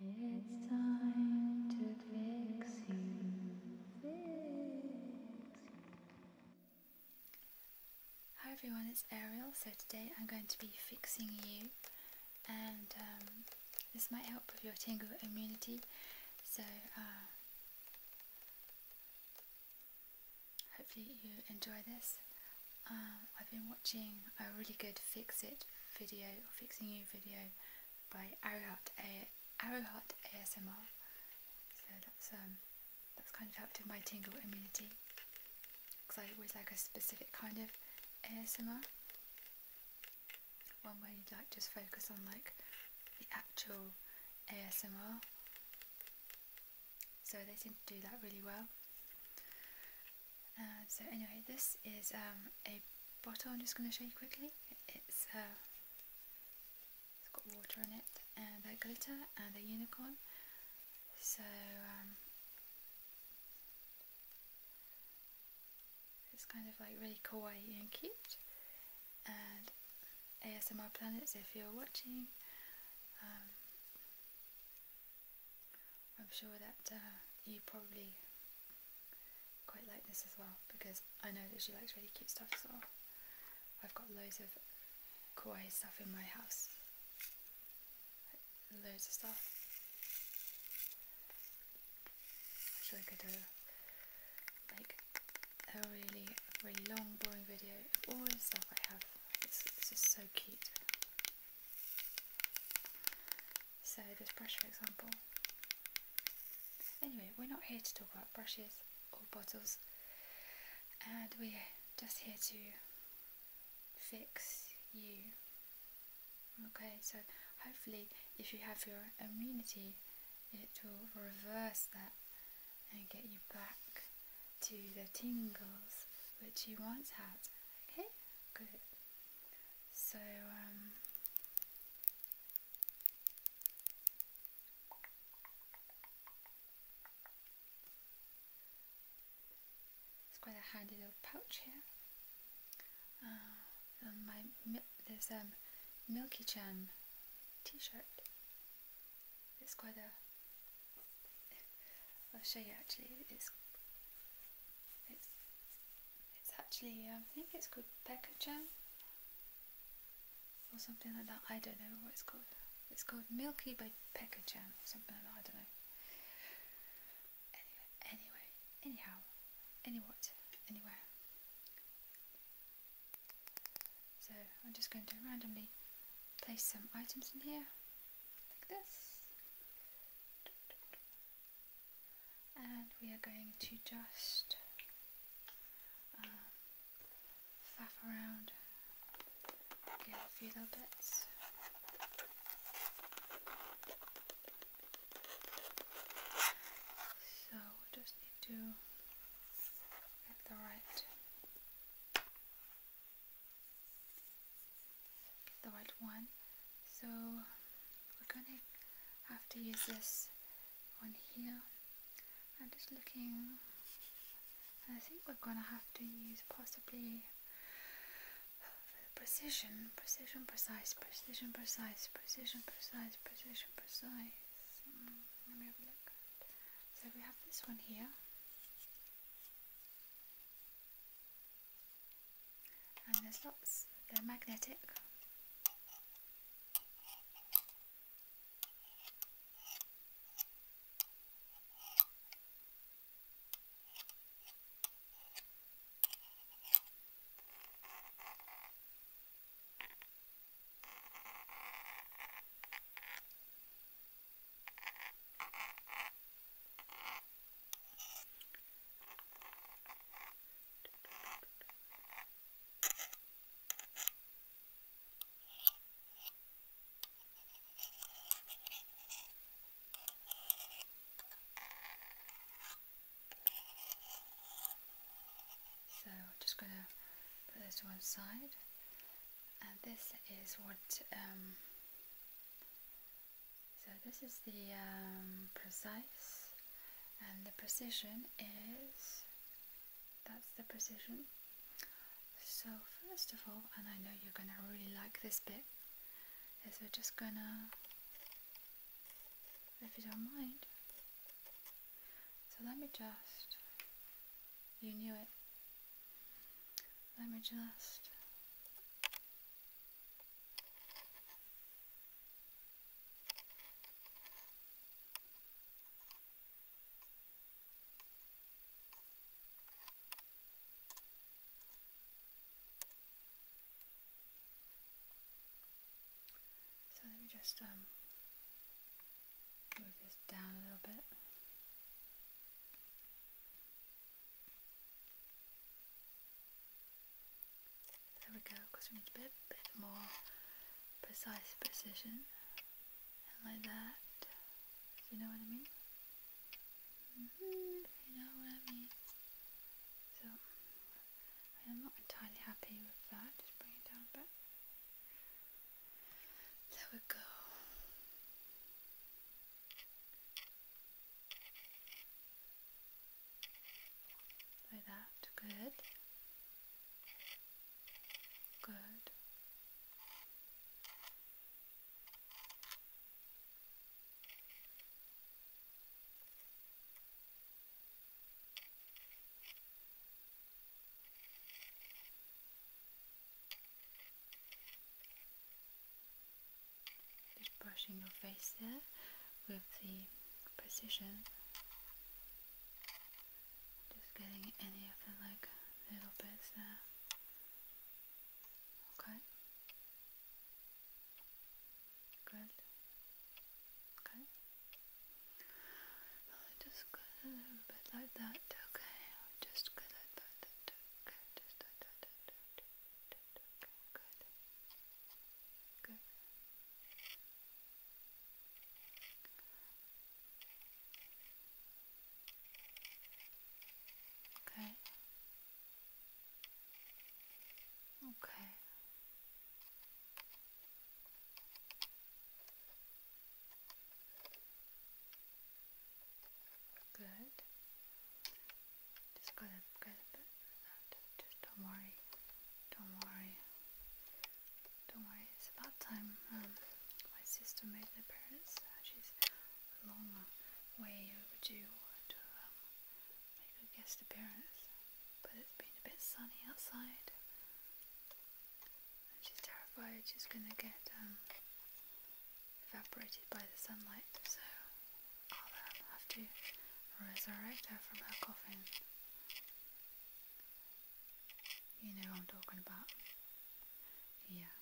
It's time to fix you. Hi everyone, it's Ariel. So today I'm going to be fixing you, and um, this might help with your tingle immunity. So uh, hopefully you enjoy this. Um, I've been watching a really good fix it video, or fixing you video by Arrowheart, a Arrowheart ASMR. So that's um, that's kind of helped with my tingle immunity because I always like a specific kind of ASMR. One where you like just focus on like the actual ASMR. So they seem to do that really well. Um, so anyway, this is um, a bottle I'm just going to show you quickly. Uh, it's got water in it and a glitter and a unicorn. So um, it's kind of like really kawaii and cute. And ASMR Planets, if you're watching, I'm sure that uh, you probably quite like this as well because I know that she likes really cute stuff as well. I've got loads of kawaii stuff in my house. loads of stuff. I should I could do like a really, really long boring video of all the stuff I have. It's, it's just so cute. So this brush for example. Anyway, we're not here to talk about brushes or bottles and we're just here to fix you. Okay, so hopefully if you have your immunity it will reverse that and get you back to the tingles which you once had. Okay? Good. So, um, it's quite a handy little pouch here. Uh, my there's a um, Milky Chan t-shirt. It's quite a. I'll show you actually. It's it's, it's actually, I think it's called Pekka jam or something like that. I don't know what it's called. It's called Milky by Pekka jam or something like that. I don't know. Anyway, anyway, anyhow, anywhat, anywhere. So I'm just going to randomly place some items in here this. And we are going to just um, faff around, get a few little bits. So just need to get the right the right one so we're gonna have to use this one here I'm just looking I think we're gonna have to use possibly precision precision precise precision precise precision precise precision precise mm, let me have a look so we have this one here and there's lots, they're magnetic. So I'm just going to put this to one side and this is what um, so this is the um, precise and the precision is that's the precision. So first of all, and I know you're gonna really like this bit, is we're just gonna, if you don't mind, so let me just, you knew it, let me just so let me just um, move this down a little bit. There we go, because we need a bit, bit more precise precision. like that. you know what I mean? Mm-hmm. you know what I mean. So, I am not entirely happy with that. Just bring it down a bit. There we go. Like that, good. Good. Just brushing your face there with the precision. Just getting any of the like little bits there. Okay. Good. Okay. Just a little bit like that. Okay. Just like that. Okay. Just dot, dot, dot, dot, dot. Good. Good. Okay. Okay. Good. Just gotta a bit Just don't worry. Don't worry. Don't worry. It's about time. Um, my sister made an appearance. Uh, she's a long way overdue to um, make a guest appearance. But it's been a bit sunny outside. she's terrified she's gonna get um, evaporated by the sunlight, so I'll um, have to resurrect her from her coffin. You know what I'm talking about. Yeah.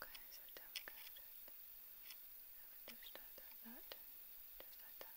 Okay, so down we go. Just like that, just like that.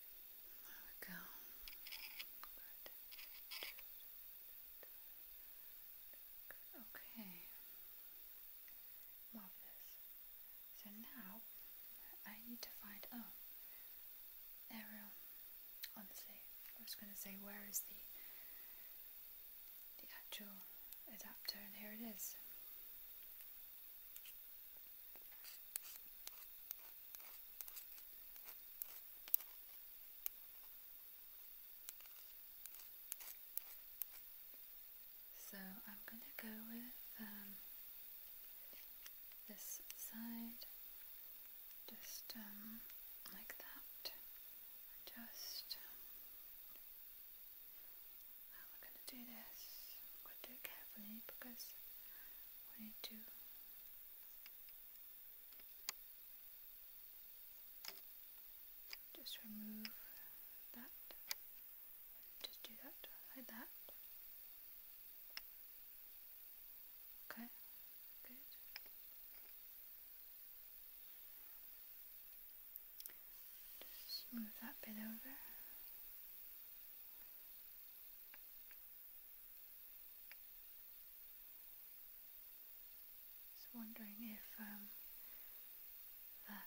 There we go. Good. Okay. Marvelous. So now I need to find oh Ariel. Honestly, I was gonna say where is the the actual adapter and here it is. So I'm going to go with um, this side, just um, like that. Just now we're going to do this. i do carefully because we need to just remove that. Just do that like that. Okay, good. Just move that bit over. Just wondering if um, that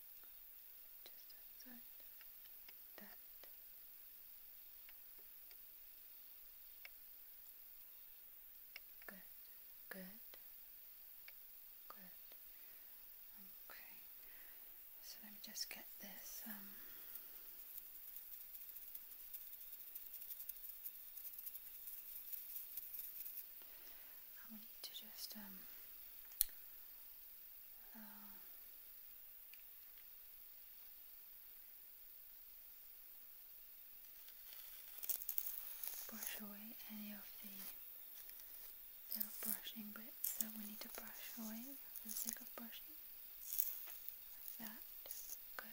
Good, good, good. Okay, so let me just get this we need to just um, uh, brush away any of the little brushing bits so we need to brush away for the sake of brushing. that. good.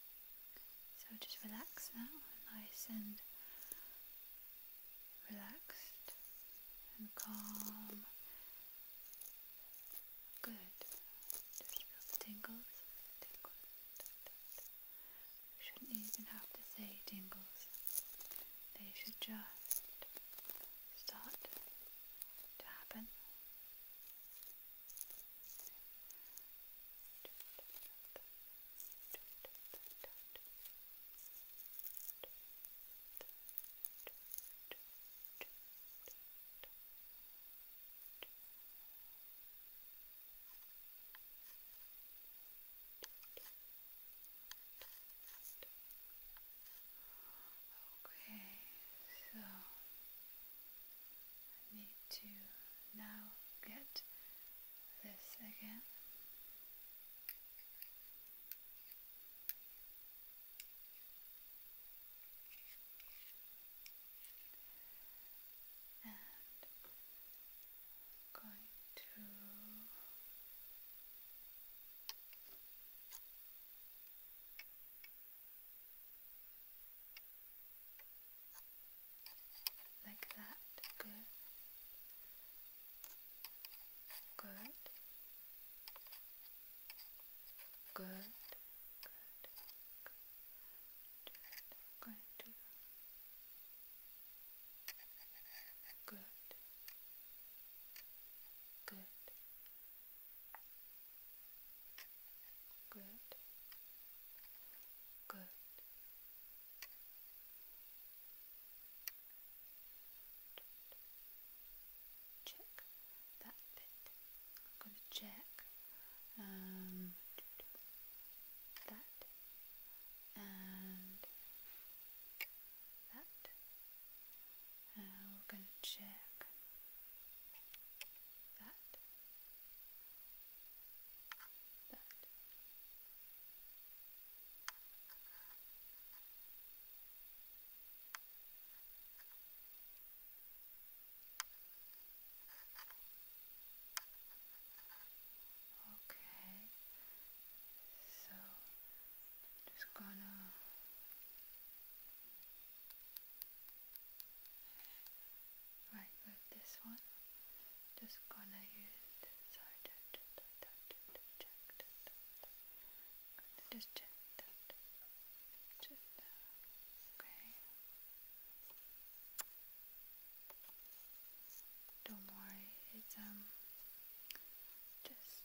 So just relax now, nice and relaxed and calm. Good. Just feel the tingles. tingles. You shouldn't even have to say tingles. They should just start to happen. Okay, so I need to now get this again. And going to like that. Good. Good. Good. Good. Good. Good. Good. Good. Good. Good. Check that bit. I'm going to check um, that and that. Uh, we're going to check that that. Okay, so just gonna Right, with this one, just gonna use this side. Gonna just Don't worry, it's um just,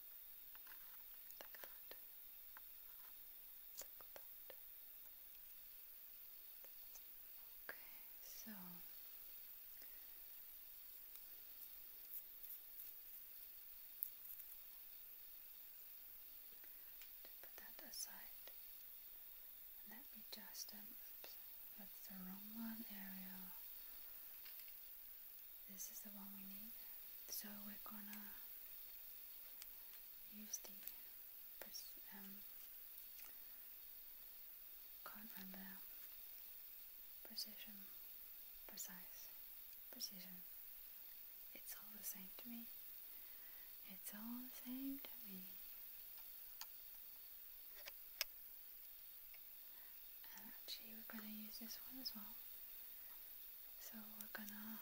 like that, Okay, so put that aside, let me just um, oops, that's the wrong one area this is the one we need so we're gonna use the um, can't remember precision precise precision it's all the same to me it's all the same to me and actually we're gonna use this one as well so we're gonna like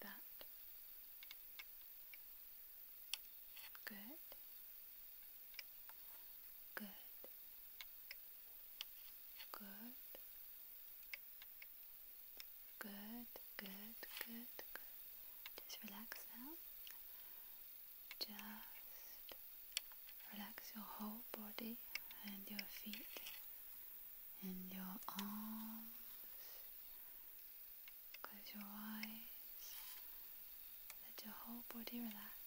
that good good good Good, good, good, Just relax now. Just relax your whole body and your feet and your arms. Close your eyes. Let your whole body relax.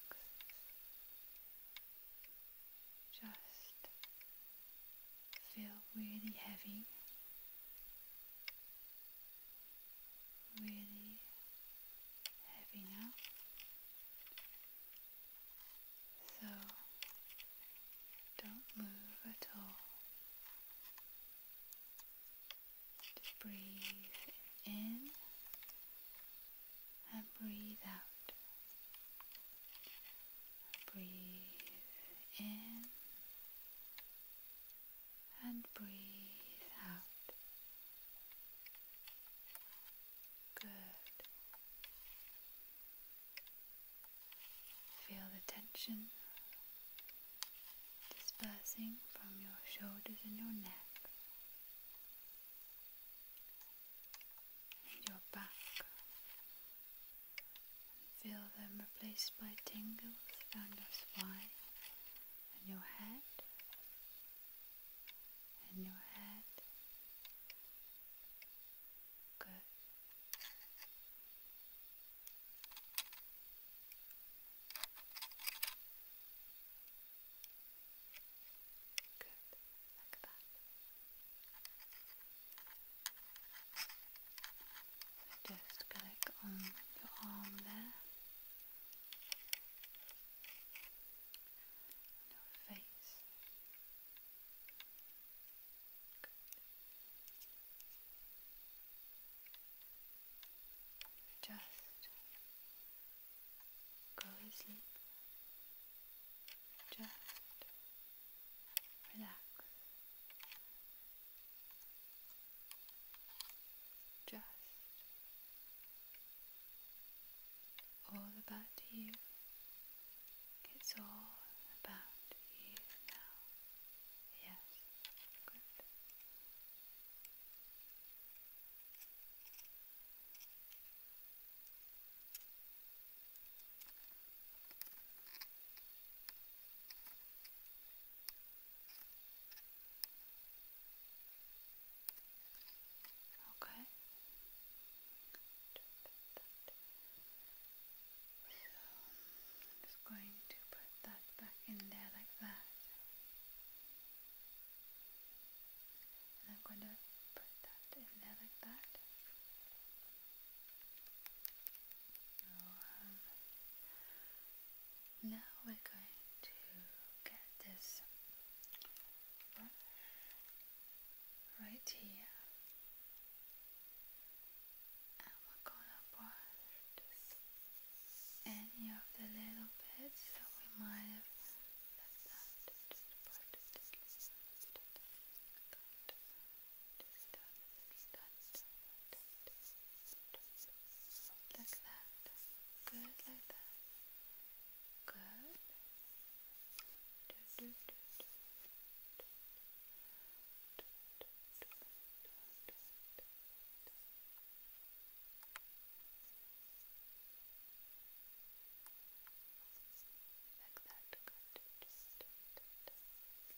Just feel really heavy really heavy now. So don't move at all. Just breathe in and breathe out. Breathe in and breathe out. Good. Feel the tension dispersing from your shoulders and your neck. And your back Feel them replaced by tingles around your spine and your head and your head. Good. Good. Like that just click on your arm there your face. Just go to sleep. Just Relax. Just all about you. It's all about you now. Yes. Good. Okay. So I'm just going to put that back in there like that. And I'm going to put that in there like that um, now we're going to get this right here and we're gonna brush any of the little bits that we might have left out. Like that. Good, like that. Good. Do, do, do, do. Like that, good.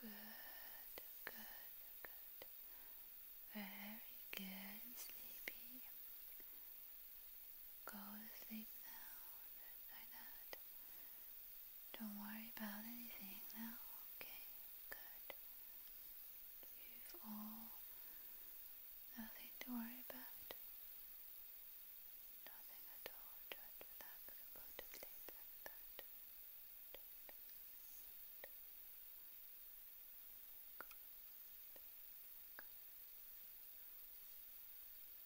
Good, good, good. Very good, sleepy. Go to sleep now like that. Don't worry about anything now, okay? Good. You've all nothing to worry about. Nothing at all. Just relax and go to sleep Good. Good. Just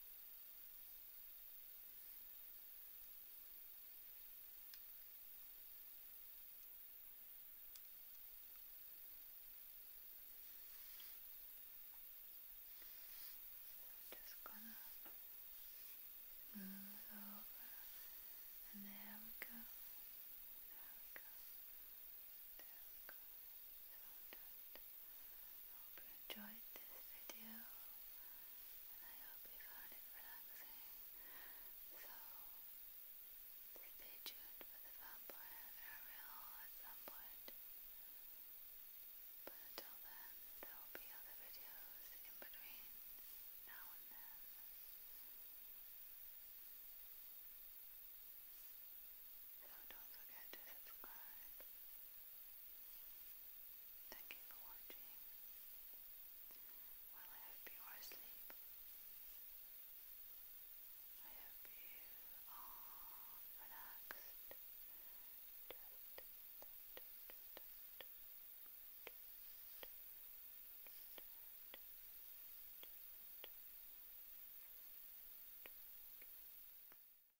gonna smooth over, and there we go. There we go. There we go. So done. I hope you enjoyed this video I hope you found it relaxing. So stay tuned for the vampire aerial at some point. But until then, there will be other videos in between now and then. So don't forget to subscribe. Thank you for watching. Well, I hope you asleep. I hope you are relaxed. Just